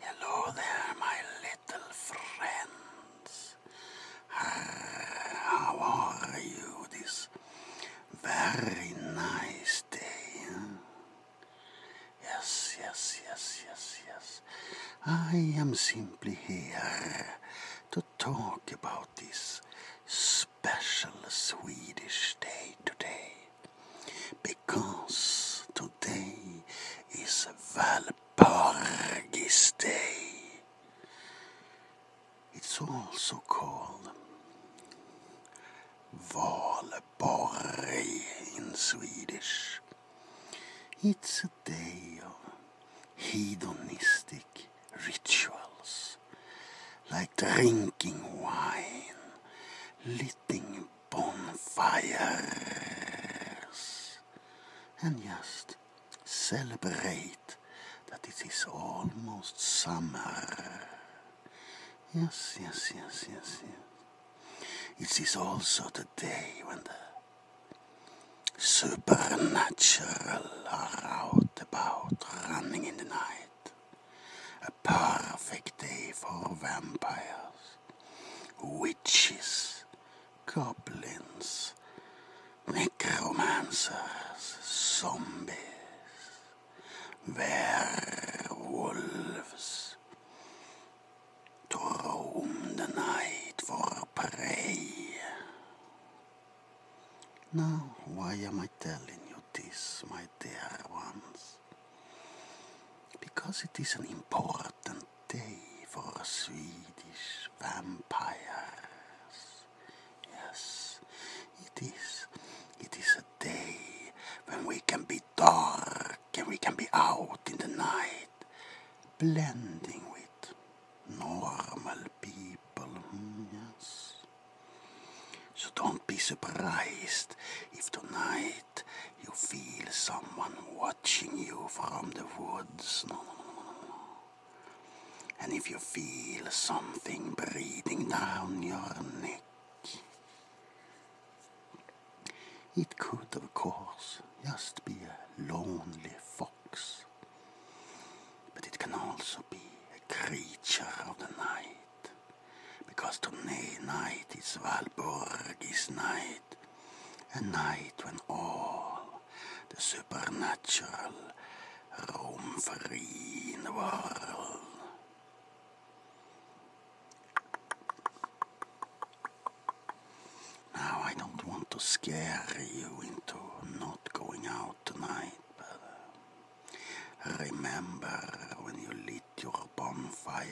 Hello there, my little friends. How are you this very nice day? Yes, yes, yes, yes, yes. I am simply here to talk about this special Swedish day today. Because today is Valpargis Day. It's also called Valborg in Swedish. It's a day of hedonistic rituals like drinking wine, litting bonfires and just celebrate that it is almost summer. Yes, yes, yes, yes, yes. It is also the day when the supernatural are out about running in the night perfect day for vampires, witches, goblins, necromancers, zombies, werewolves, to roam the night for prey. Now, why am I telling you this, my dear ones, because it is an important day for Swedish vampires. Yes, it is. It is a day when we can be dark and we can be out in the night, blending with normal people. Hmm, yes. So don't be surprised if tonight you feel someone watching you from the woods. and if you feel something breathing down your neck, it could, of course, just be a lonely fox. But it can also be a creature of the night because tonight is Valborg's night, a night when all the supernatural roam free in the world. Now I don't want to scare you into not going out tonight, but remember when you lit your bonfires,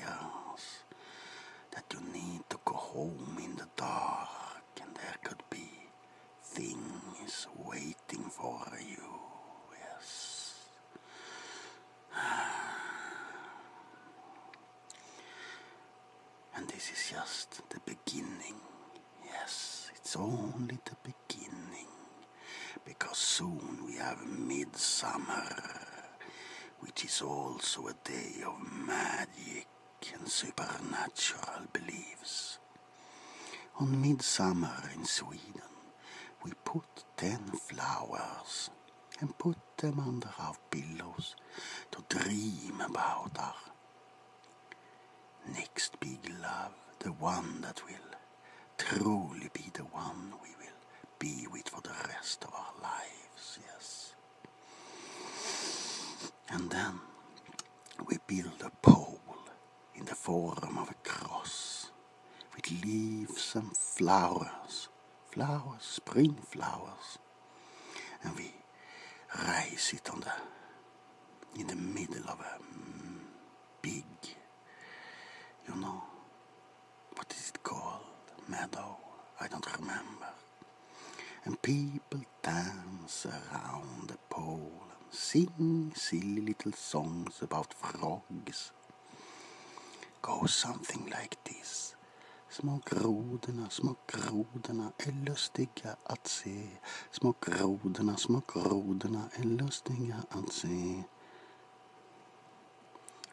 that you need to go home in the dark, and there could be things waiting for you. Yes. And this is just the beginning. Yes, it's only the beginning because soon we have midsummer, which is also a day of magic and supernatural beliefs. On midsummer in Sweden, we put ten flowers and put them under our pillows to dream about our next big love, the one that will truly be the one we will be with for the rest of our lives, yes. And then we build a pole in the form of a cross with leaves and flowers, flowers, spring flowers, and we raise it on the in the middle of a mm, big, you know, what is it called? Meadow? I don't remember. And people dance around a pole and sing silly little songs about frogs. Go something like this. Små grodorna, små grodorna är lustiga att se. Små grodorna, små grodorna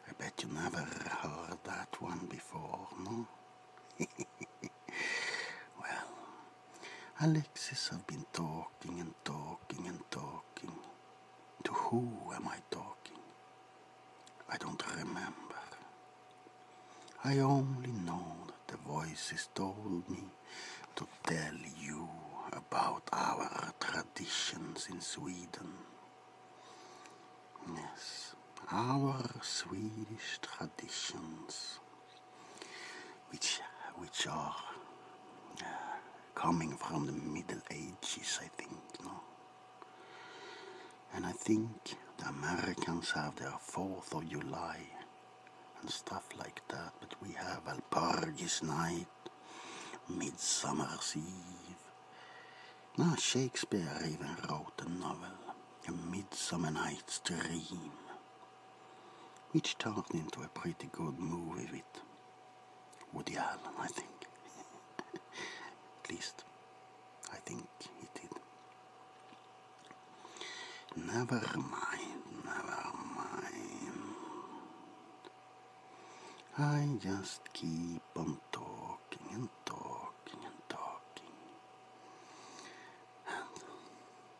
I bet you never heard that one before, no? well, Alexis have been talking and talking and talking. To who am I talking? I don't remember. I only know that the voices told me to tell you about our traditions in Sweden. Yes, our Swedish traditions, which, which are uh, coming from the Middle Ages, I think, no? And I think the Americans have their 4th of July and stuff like that, but we have Alpargis night Midsummer's Eve. Now Shakespeare even wrote a novel, A Midsummer Night's Dream, which turned into a pretty good movie with Woody Allen, I think. At least, I think he did. Never mind, never mind. I just keep on talking and talking and talking. And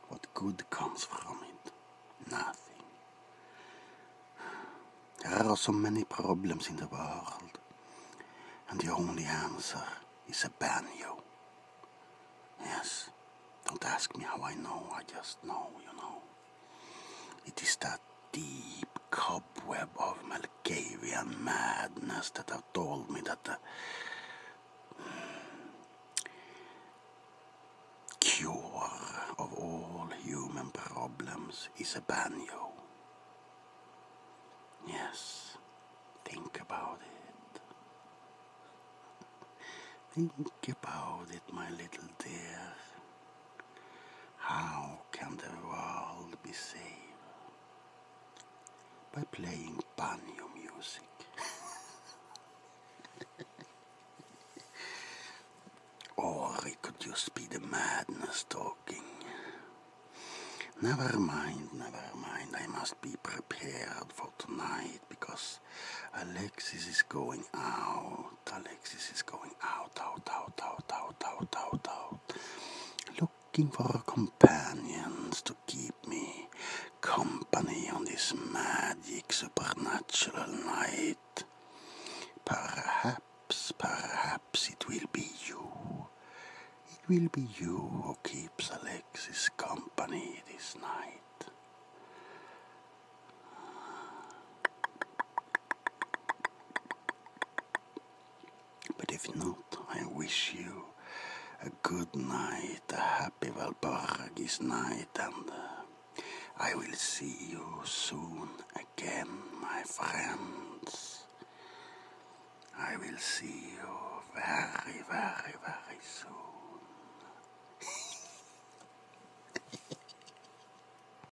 what good comes from it? Nothing. There are so many problems in the world, and the only answer is a banjo. Yes, don't ask me how I know, I just know, you know. It is that deep cobweb of Malkavian madness that have told me that the uh, cure of all human problems is a banjo. Yes, think about it. Think about it, my little dear. How can the world be saved? By playing banjo music. or it could just be the madness talking. Never mind, never mind. I must be prepared for tonight because Alexis is going out. Alexis is going out, out, out, out, out, out, out, out. Looking for companions to keep me company on this magic supernatural night. Perhaps, perhaps it will be you. It will be you who keeps Alexis company this night. But if not, I wish you a good night, a happy Valpargis night, and uh, I will see you soon again, my friends. I will see you very, very, very soon.